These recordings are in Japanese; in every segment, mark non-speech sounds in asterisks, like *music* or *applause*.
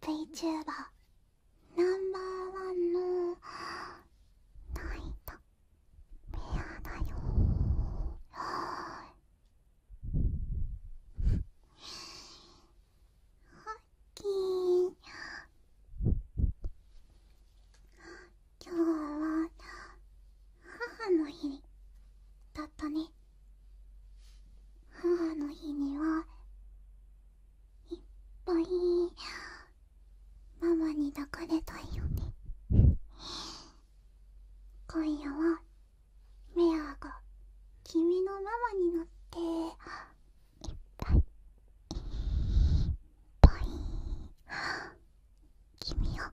VTuber ナンバーワンのナイトペアだよはいき。ッキー今日は母の日だったね母の日にはいっぱいママに抱かれたいよね今夜はメアが君のママになっていっぱいいっぱい君を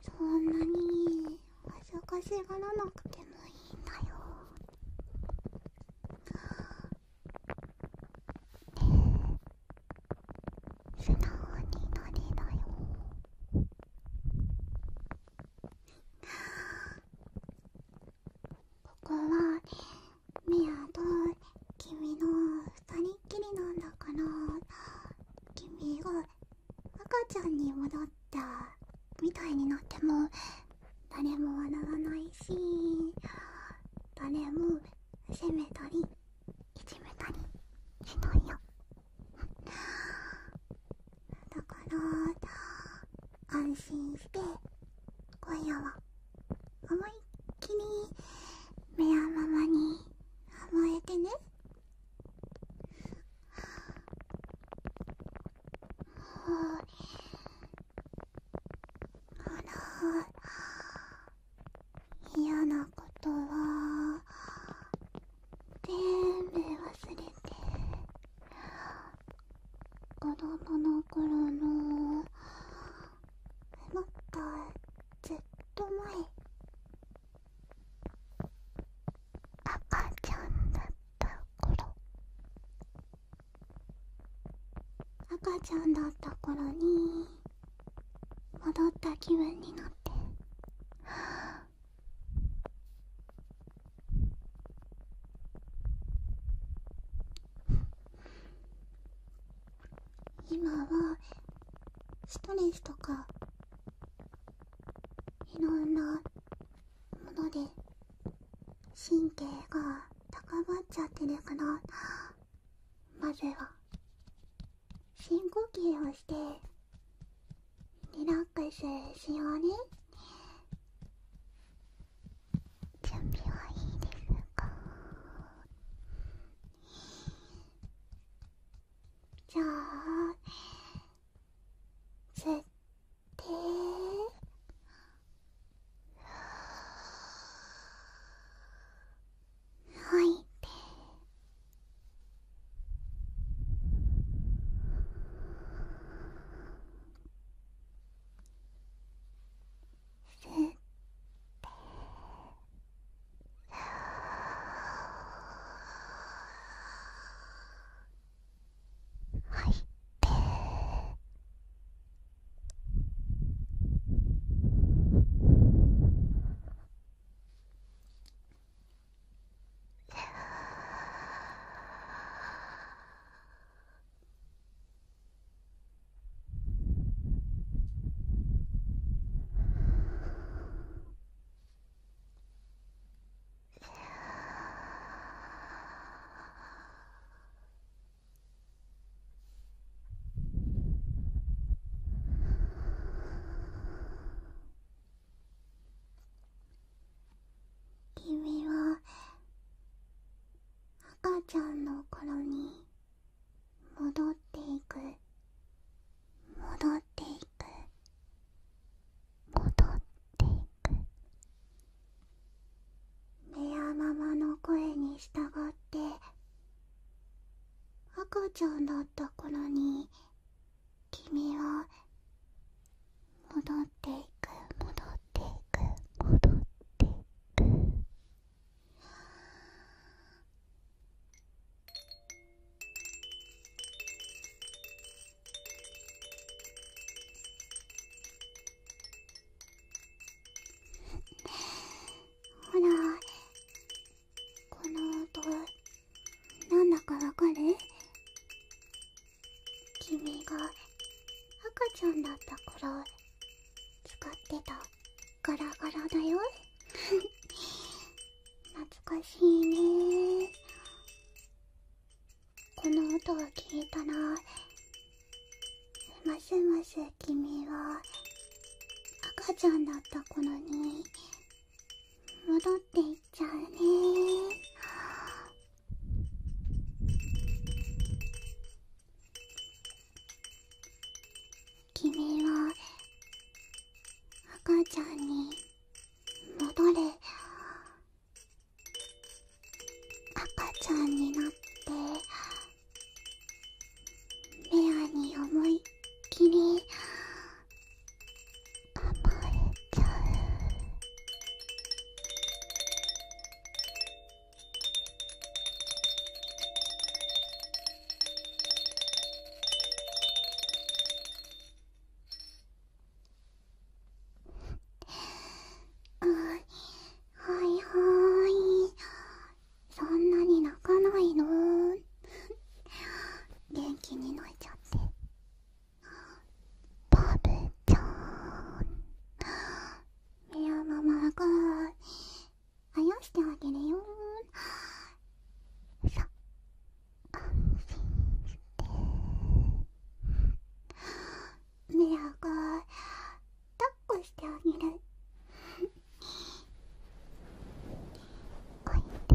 そんなに恥ずかしがらなくてもいいんだよえ素直になりだよここはメアと君の二人っきりなんだから君が赤ちゃんに戻ったみたいになっても誰も笑わないし誰も責めたりいじめたりしないよだから安心して今夜は思いっきり目やままに甘えてねはあら嫌なことは全部忘れて子供の頃のもっとずっと前赤ちゃんだった頃赤ちゃんだった頃に戻った気分になって今はストレスとかいろんなもので神経が高まっちゃってるからまずは深呼吸をしてリラックスしようね準備はいいですかじゃあ吸って吐いて。入って君は赤ちゃんの頃に戻っていく戻っていく戻っていくレやままの声に従って赤ちゃんだった頃に君は戻っていく戻っていく戻っていくほらこの音なんだかわかる君が赤ちゃんだったから。使ってたガラガラだよ *laughs* 懐かしいねこの音を聞いたらますます君は赤ちゃんだった頃に戻っていっちゃうね君は赤ちゃんに戻れ赤ちゃんになってレアに思いっきり暴れちゃうあはいはいそんなに泣かないの元気に泣いちゃってばべちゃういやママがあやしてあげるよさ安心してメラが抱っこしてあげるおいで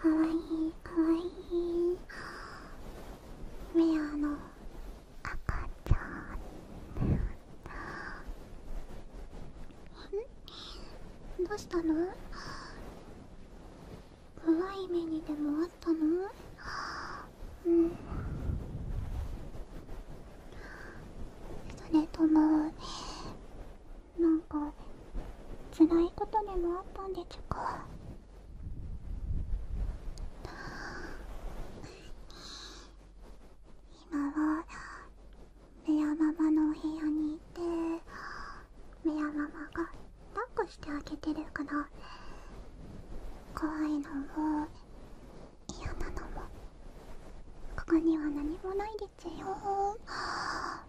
かわいいかわいいメアの赤ちゃんどうしたの怖い目にでもあったのうんそれともなんか辛いことでもあったんでちゅか今はメアママのお部屋にいてメアママが抱っこしてあげてるから怖いのも嫌なのもここには何もないですよあ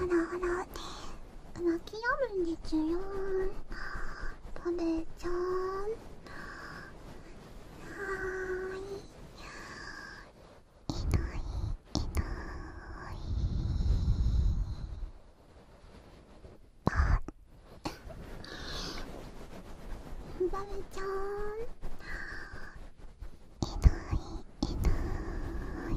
らあら泣き止むんですよ食べちゃうはーいあバブちゃんいないいない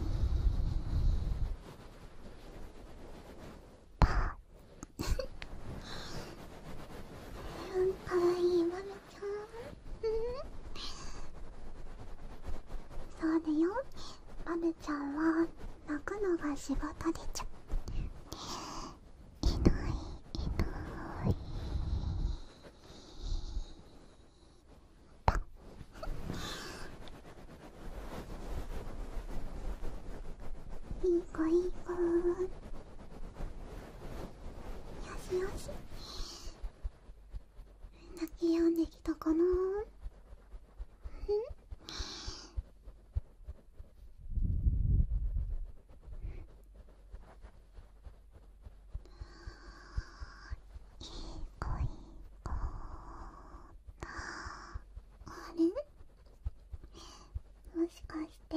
あかわいいマメゃんそうだよアブちゃんは泣くのが仕事でちゃいないいないっ…いい子いい子しよし泣き止んできたかないい子いい子あれもしかして